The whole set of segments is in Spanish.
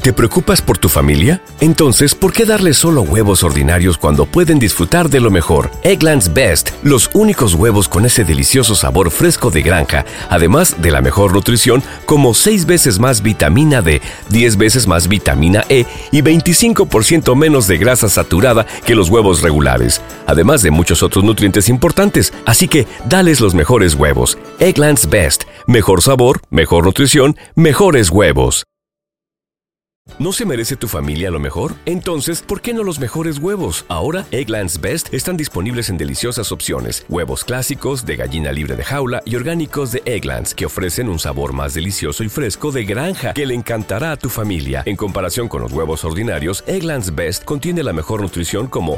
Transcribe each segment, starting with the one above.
¿Te preocupas por tu familia? Entonces, ¿por qué darle solo huevos ordinarios cuando pueden disfrutar de lo mejor? Eggland's Best, los únicos huevos con ese delicioso sabor fresco de granja, además de la mejor nutrición, como 6 veces más vitamina D, 10 veces más vitamina E y 25% menos de grasa saturada que los huevos regulares, además de muchos otros nutrientes importantes. Así que, dales los mejores huevos. Eggland's Best, mejor sabor mejor nutrición, mejores huevos. ¿No se merece tu familia lo mejor? Entonces, ¿por qué no los mejores huevos? Ahora, Egglands Best están disponibles en deliciosas opciones. Huevos clásicos, de gallina libre de jaula y orgánicos de Egglands, que ofrecen un sabor más delicioso y fresco de granja que le encantará a tu familia. En comparación con los huevos ordinarios, Egglands Best contiene la mejor nutrición como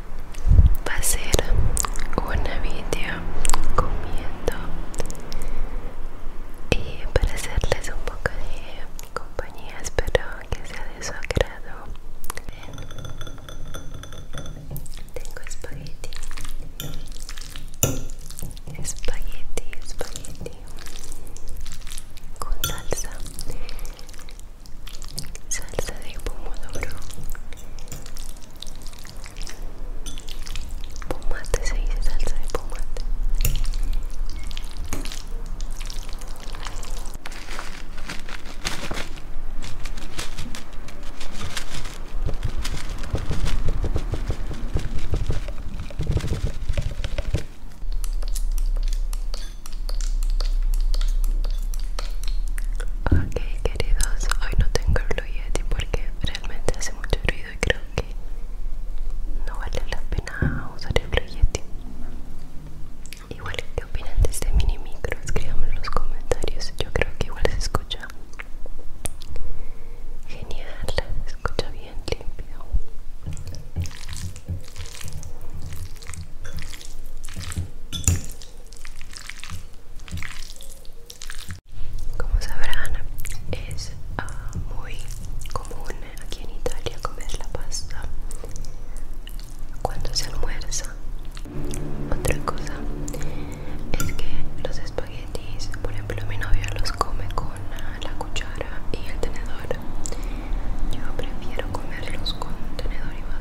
va a ser una video comiendo y para hacerles un poco de compañía espero que sea de su agrado tengo espagueti espagueti espagueti con salsa salsa de pomodoro, pomate, se dice salsa de pomate. Ok queridos, hoy no tengo el Yeti porque realmente hace mucho ruido y creo que no vale la pena usar el Blue Igual, ¿qué opinan de este mini micro? Escríbanme en los comentarios, yo creo que igual se escucha genial, se escucha bien limpio. Como sabrán, es ah, muy común aquí en Italia comer la pasta cuando se almuerza. Otra cosa es que los espaguetis, por ejemplo, mi novia los come con ah, la cuchara y el tenedor. Yo prefiero comerlos con tenedor y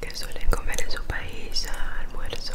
que suelen comer en su país a almuerzo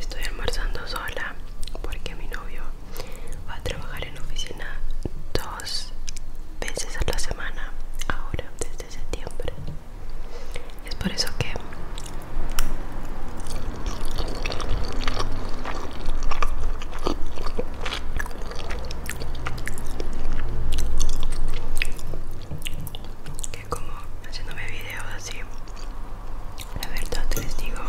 Estoy almorzando sola porque mi novio va a trabajar en oficina dos veces a la semana ahora desde septiembre. Es por eso que que como haciéndome videos así la verdad les digo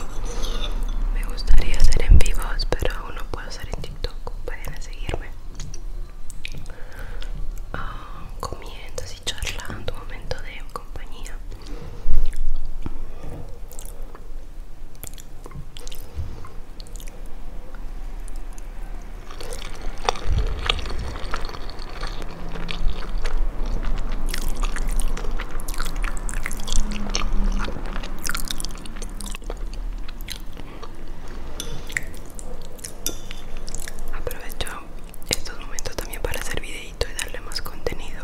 me gustaría hacer en vivo pero aún no puedo hacer en tiktok pueden seguirme ah, comiendo y charlando un momento de compañía Aprovecho estos momentos también para hacer videito y darle más contenido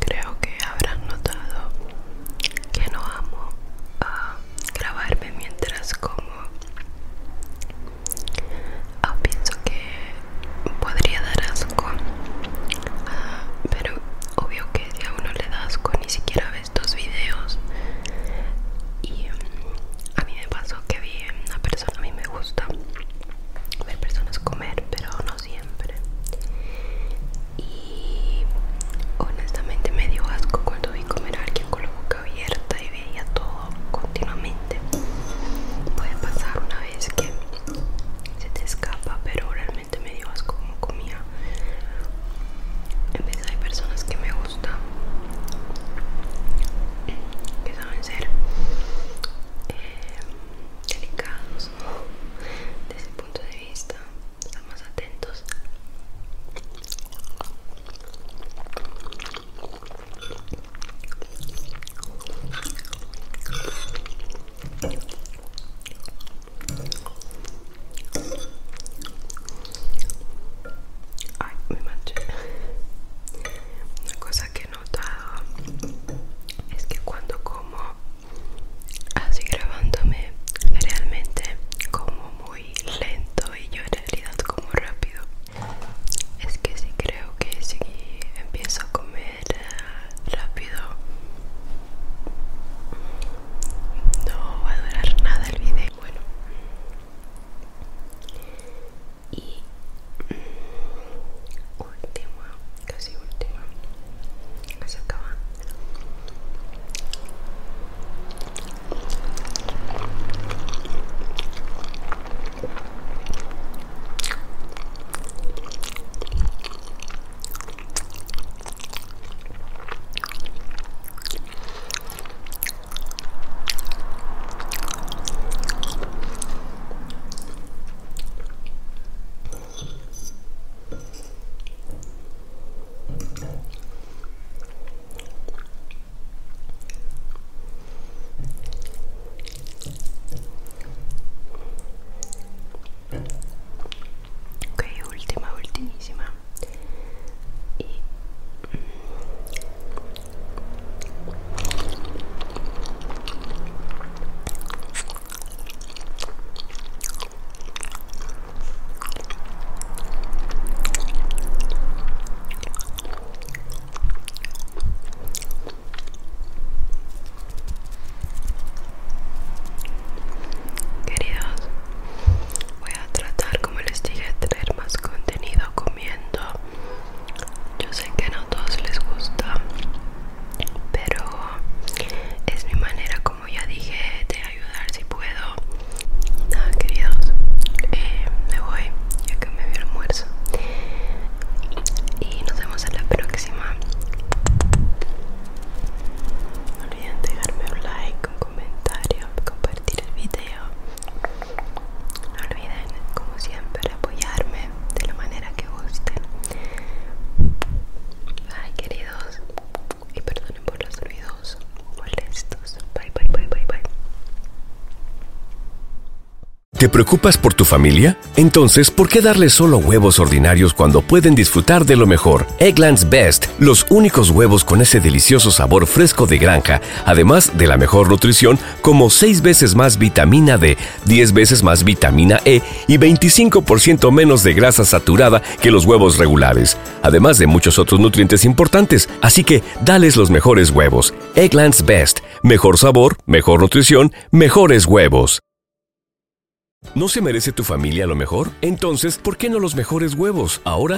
Creo que habrás notado que no amo ah, grabarme mientras como. o ah, pienso que podría dar asco, ah, pero obvio que a uno le da asco ni siquiera ve estos videos. Y mm, a mí me pasó que vi una persona, a mí me gusta ver personas comer, pero siempre y honestamente me dio asco cuando vi comer a alguien con la boca abierta y veía todo continuamente puede pasar una vez que se te escapa pero realmente me dio asco como comía en vez hay personas que me gustan que saben ser eh, delicados desde el punto de vista estamos atentos Ay, me manché Una cosa que notado es que cuando como así grabándome realmente como muy lento y yo en realidad como rápido es que si creo que si empiezo a comer rápido no va a durar nada el video bueno y última, casi última, casi acaba. Ok, última, ultimísima. Mm, Queridos, voy a tratar, como les dije, de traer más contenido comiendo yo sé que no a todos les gusta, pero es mi manera, como ya dije, de ayudar si puedo. Nada, queridos, eh, me voy ya que me vi almuerzo. Y nos vemos en la próxima. No olviden dejarme un like, un comentario, compartir el video. No olviden, como siempre, apoyarme de la manera que gusten. Bye, queridos. Y perdonen por los ruidos molestos. Bye, bye, bye, bye, bye. ¿Te preocupas por tu familia? Entonces, ¿por qué darle solo huevos ordinarios cuando pueden disfrutar de lo mejor? Eggland's Best, los únicos huevos con ese delicioso sabor fresco de granja además de la mejor nutrición como 6 veces más vitamina D, 10 veces más vitamina E y 25% menos de grasa saturada que los huevos regulares, además de muchos otros nutrientes importantes. Así que dales los mejores huevos. Egglands Best. Mejor sabor, mejor nutrición, mejores huevos. ¿No se merece tu familia lo mejor? Entonces, ¿por qué no los mejores huevos? Ahora